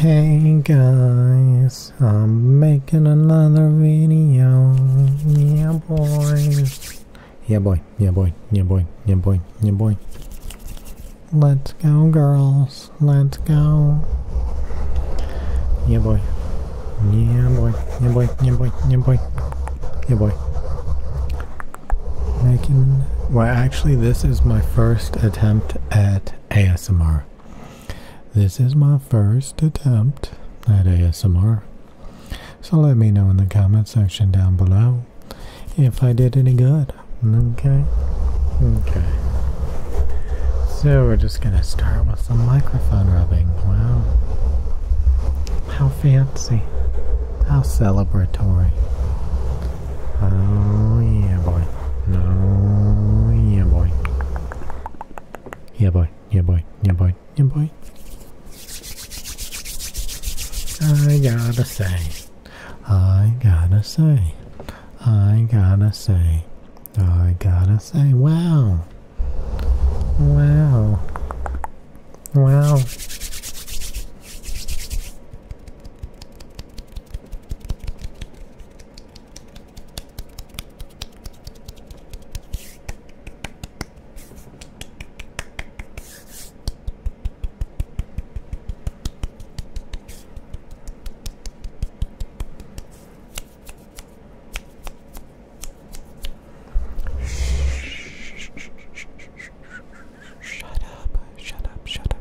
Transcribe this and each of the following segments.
Hey guys, I'm making another video. Yeah boy. Yeah boy, yeah boy, yeah boy, yeah boy, yeah boy. Let's go girls, let's go. Yeah boy. Yeah boy, yeah boy, yeah boy, yeah boy. Yeah boy making. Well, actually, this is my first attempt at ASMR. This is my first attempt at ASMR. So let me know in the comment section down below if I did any good. Okay. Okay. So we're just gonna start with some microphone rubbing. Wow. How fancy. How celebratory. Oh yeah, boy. No, oh, yeah, boy. Yeah, boy. Yeah, boy. Yeah, boy. Yeah, boy. I gotta say. I gotta say. I gotta say. I gotta say. Wow. Wow. Wow. Shut up, shut up, shut up.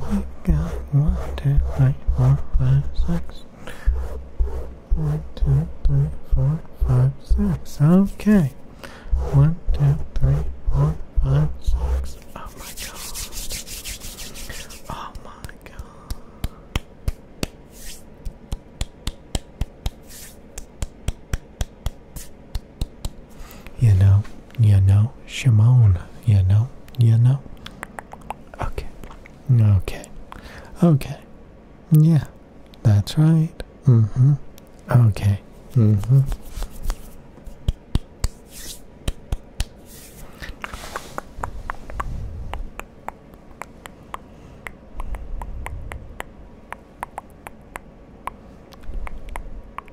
We got one, two, three, four, five, six. One, two, three, four, five, six. Okay. One, two, three, four, five, six. Oh my god. Oh my god. You know, you know, Shimon. You know, you know. Okay, okay, okay. Yeah, that's right. hmm Okay. hmm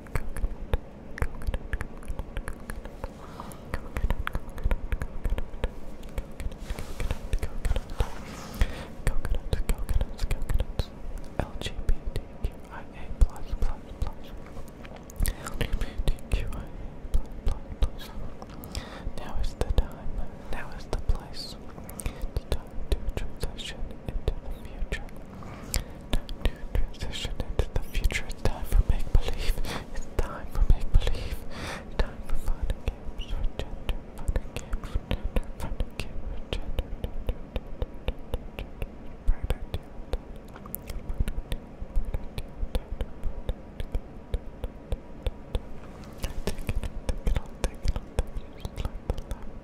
coconuts, coconuts, coconuts, LGBTQIA plus plus plus, LGBTQIA plus plus plus. Now is the time. Now is the place. The Time to transition into the future. Time to transition into the future. It's time for make believe. It's time for make believe. time for fun and games with gender. Fun and games with gender. Fun and games with gender. Murder deal. Murder deal. Murder deal. Take it, take it all, take it all, take it all. Just like the left,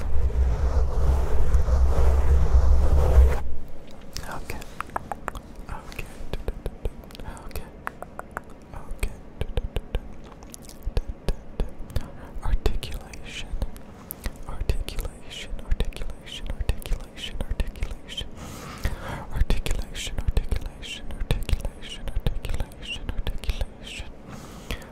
Okay. Okay. Okay. Okay. Articulation. Articulation. Articulation. Articulation. Articulation. Articulation. Articulation. Articulation. Articulation. Articulation.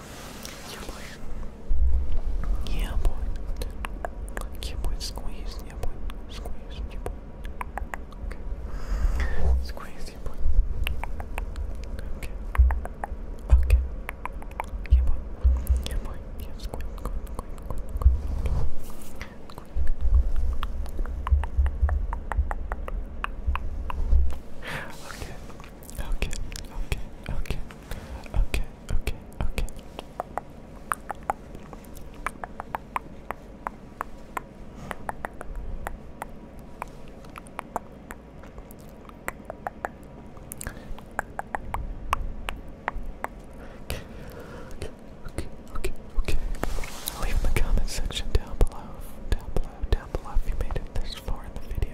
Yeah, boy. Yeah, boy. Yeah, boy. Squeeze. Yeah, boy. Squeeze. Yeah, boy. Okay. Squeeze. Yeah, boy. Okay. Okay. Yeah, boy. Yeah, boy. Yeah, squeeze. Squeeze. Squeeze. Squeeze. Okay. Okay, okay, okay, okay, okay, okay. Okay, okay, okay, okay. Leave in the comment section down below, down below, down below if you made it this far in the video.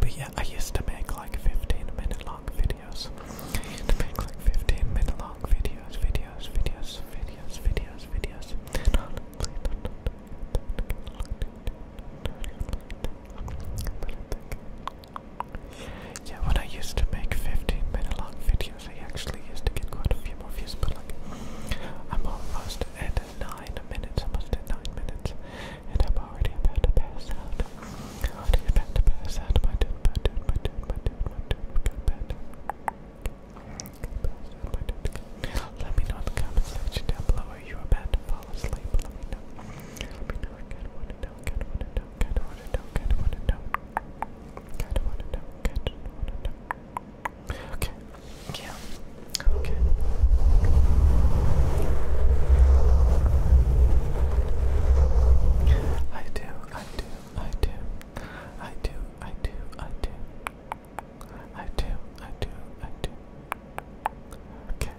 But yeah, I used to make like 15 minute long videos. to make like 15 minute long videos, videos, videos, videos, videos, videos. Yeah, when I used to make 15 minute long videos, I actually used to get quite a few more views, but like, I'm almost at 9 minutes, almost at 9 minutes, and I'm already about to pass out. I'm already about to pass out, my dude, my dude, my dude, my dude, my dude, my dude, my dude. Let me know in the comment section down below. Are you about to fall asleep? Let me know. Let me know. I kind know. I kind know. Kinda wanna know, kinda wanna know. Kinda wanna know, kinda wanna know. Okay. Yeah. Okay. I do, I do, I do. I do, I do, I do. I do, I do, I do. Okay.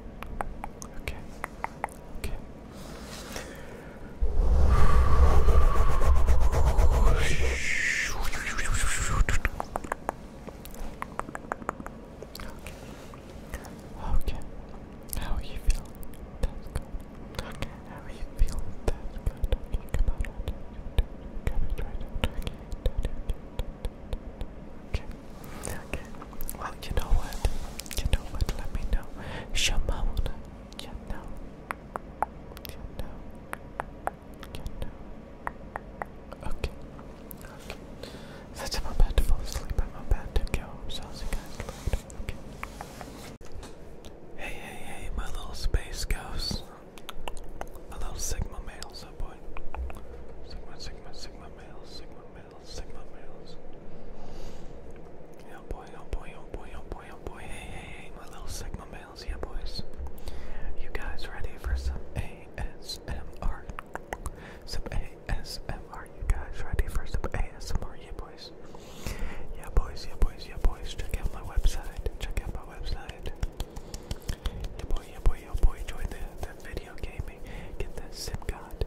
Okay. Okay. Okay. How are you feeling? That's good. Okay. How are you feeling? That's good you know what? You know what? Let me know. Shimon, you know. You know. You know. Okay. Since I'm about to fall asleep, I'm about to go. Hey, hey, hey, my little space ghosts. My little Sigma males, boy. Sigma, Sigma, Sigma males, Sigma males males, sigma males. Yeah, boy, oh boy, oh boy, oh boy, oh boy. Hey, hey, hey, my little sigma males, yeah, boys. You guys ready for some ASMR? Some ASMR, you guys ready for some ASMR, yeah, boys. Yeah, boys, yeah, boys, Check out my website. Check out my website. Yeah, boy, yeah, boy, yeah, boy. Join the, the video gaming. Get that SimCon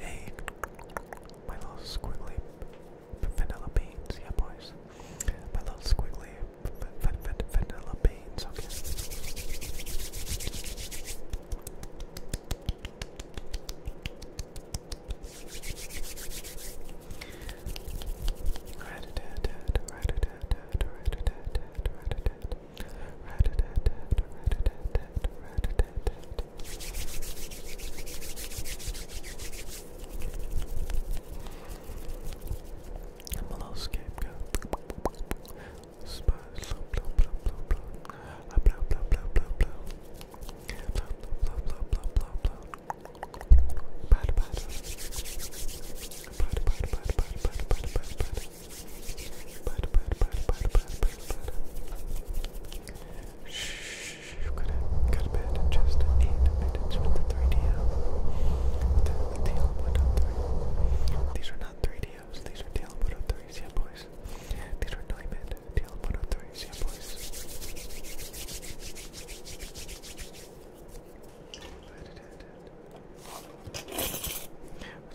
Hey, my little squiggly vanilla beans, yeah, boys. My little squiggly vanilla beans, okay. I'm a little scapegoat. Spice, blah, blah, blah, blah, blah, blah, blah, blah, blah, blah, blah, blah, blah, blah, blah. Bad, bad. Bad, bad, bad, bad, bad, bad, bad, bad. Bad, bad, bad, bad, bad, bad, bad. Shh shh, go to, go to bed in just 8 minutes the 3DL. The, the TL103. These are not 3DLs, these are TL103s, yeah These are diamond TL103s, yeah boys.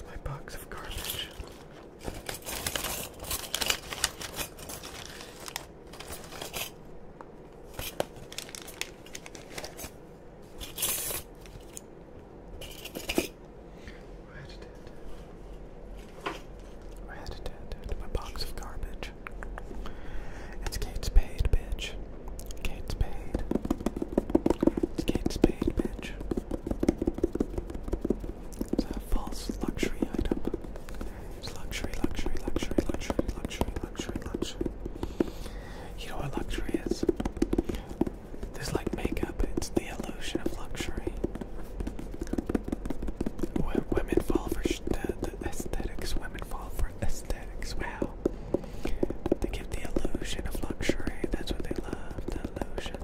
my box of garbage. Where did My box of garbage. It's Kate's paid, bitch. Kate's paid. It's Kate's paid, bitch. It's a false luxury item. Luxury, luxury, luxury, luxury, luxury, luxury, luxury. You know what luxury is? There's like makeup, it's the illusion of luxury. W women fall for the, the aesthetics, women fall for aesthetics, wow. They give the illusion of luxury, that's what they love, the illusion.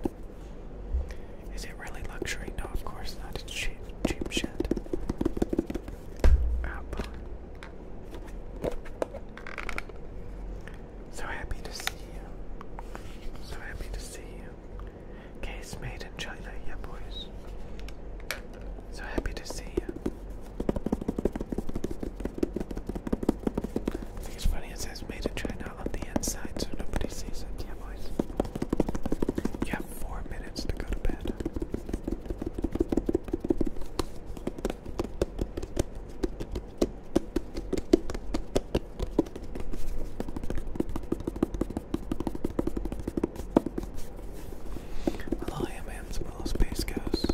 Is it really luxury? No, of course not, it's cheap cheap shit. Apple. So happy to see you. So happy to see you. Case made in China, yeah, boys. So happy to see you. it's funny it says made in China on the inside so nobody sees it, yeah, boys. Yeah, four minutes to go to bed. Hello, I am Ams, Willow Space Ghost.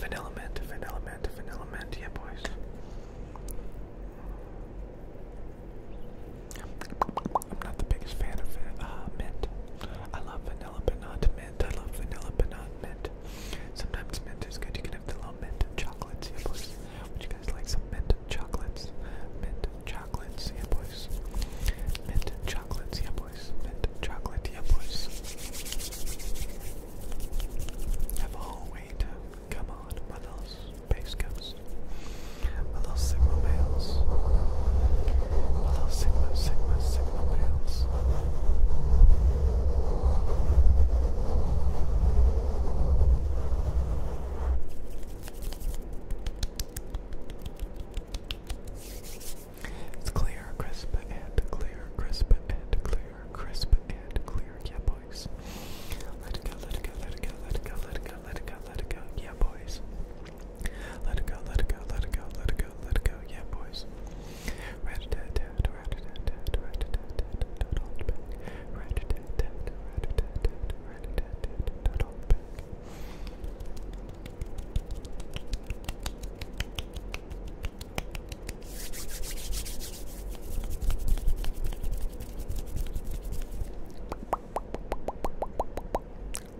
Vanilla mint, vanilla mint, vanilla mint, yeah, boys. I'm not the biggest fan of uh, mint. I love vanilla, but I love vanilla, but mint. Sometimes mint is good. You can have the little mint chocolates, Would you guys like some mint chocolates? Mint chocolates, yeah, boys. Mint chocolates, yeah, boys. Mint chocolate, yeah, boys. Have a whole weight. Come on, my little space ghost. My males sigma, sigma, sigma It's clear, crisp, and clear, crisp, and clear, crisp, and clear. Yeah, boys. Let it go, let it go, let it go, let it go, let it go, let it go, let it go. Yeah, boys. Let it go, let it go, let it go, let it go, let it go. Yeah, boys. Rat a tat tat, rat a tat tat, rat a tat tat, don't hold back. Rat a tat tat, rat a tat tat, rat a tat tat, don't hold back.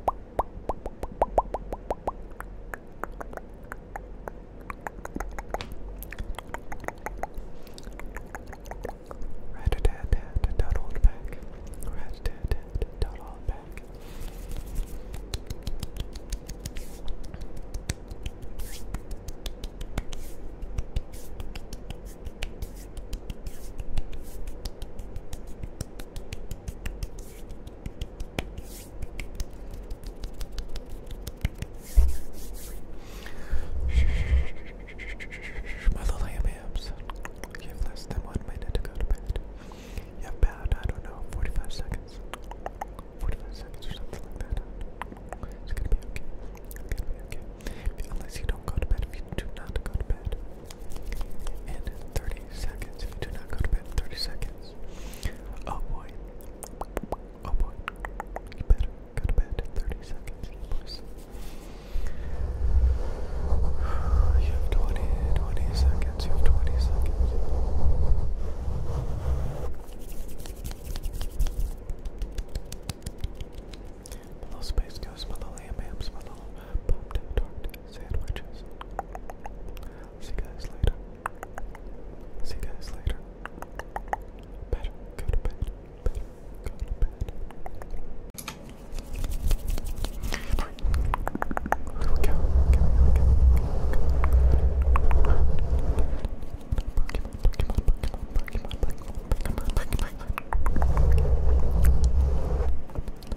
Rat Rat a tat tat, don't hold back. Rat a tat tat, don't hold back. Rat my little yams. You have less than one minute to go to bed. You have about, I don't know, 45 seconds. 45 seconds or something like that. It's gonna be okay. It's gonna be okay. Unless you don't go to bed, if you do not go to bed, and 30 seconds. do not go to bed 30 seconds. Oh boy. Oh boy. You better go to bed in 30 seconds. You have 20, 20 seconds. You have 20 seconds. little space ghost, my little ham hams, my pop tart, sandwiches. See you guys later. See you guys later. Better go to bed. Better go to bed. Go, go, go, go, go. Pokemon, Pokemon, Pokemon, Pokemon, Pokemon, Pokemon, Pokemon.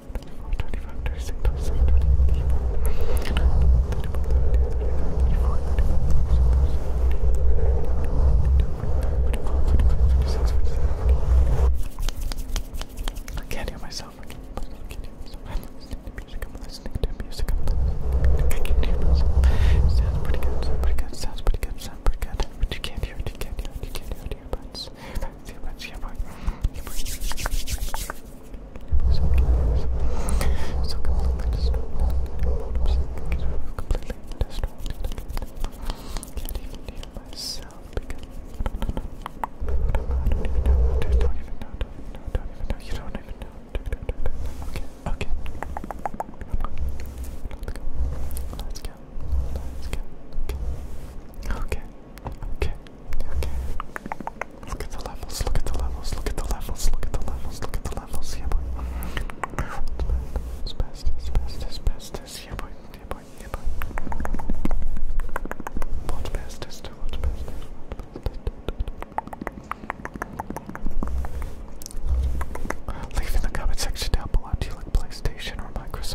I can't hear myself. I can't, hear myself. sounds pretty good. Sounds pretty good. Sounds pretty good. Sounds pretty good. But you can't hear it. You can't hear it. You can't hear that's it, that's your boy. Your boy. So completely distracted. completely distracted. Can't even hear myself because I don't even know. Don't even know. Don't even know. You don't even know. Okay. Okay. Let's go. Let's go. Let's go. Okay. Okay. Okay. Okay. Look at the levels, look at the levels, look at the levels, look at the levels, look at the levels, yeah boy. It's best, it's best, it's best, it's yeah boy, yeah boy, yeah boy. Watch best, it's watch best, Leave in the comment section down below, do you like PlayStation or Microsoft?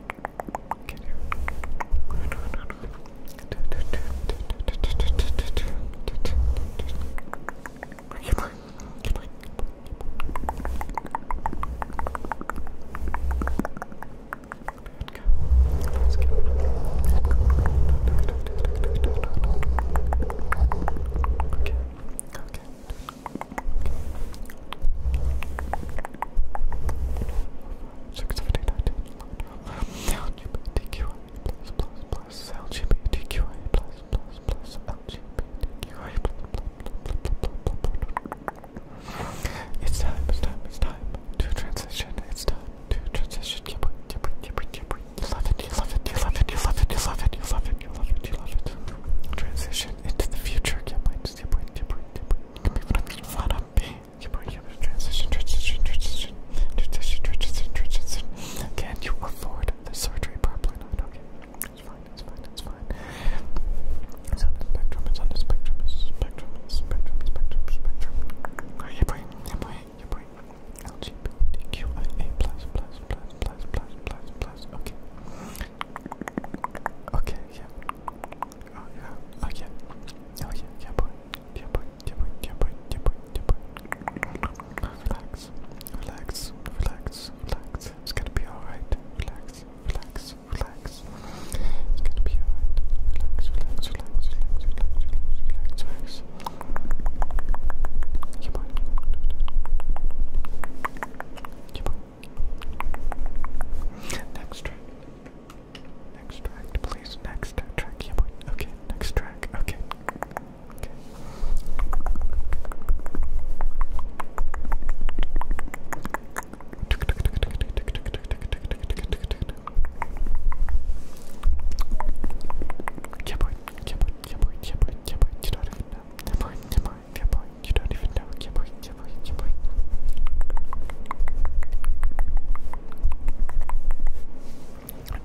Get here. Let's go. Okay. Okay. Six seven eight nine ten. LGBTQI plus plus plus LGBTQI plus plus plus LGBTQI It's time, it's time, it's time to transition. It's time to transition. You love it, you love it, you love it, you love it, you love it, you love it, you love it, you love it. Transition into the future. Can't wait, can't wait, Give me one of these flat up B. Keep on keeping transition, transition, transition, transition, transition, transition. Can you afford the surgery? Probably not. Okay. It's fine, it's fine, it's fine. It's on the spectrum, it's on the spectrum, it's spectrum, spectrum, spectrum, spectrum. Are you playing? Yeah, boy, yeah, boy. LGBTQIA plus, plus, plus, plus, plus, plus, plus, okay. Okay, yeah. Oh yeah. Oh yeah. yeah. boy. Yeah boy. Yeah boy. Yeah boy. Yeah boy. Yeah boy. Relax. Relax. Relax. Relax. It's gonna be alright. Relax. Relax. Relax. It's gonna be alright. Relax. Relax. Relax. Relax. Yeah boy. Yeah boy. Next track. Next track, please. Next track. Yeah, boy. Okay, next track. Okay. yeah boy, yeah boy, yeah boy, yeah boy, yeah boy, yeah boy, point, dear You don't even know, dear point, dear point, dear point. Okay.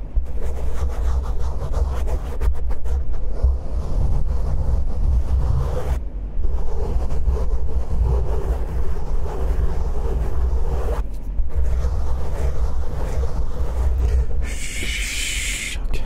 Shh, okay.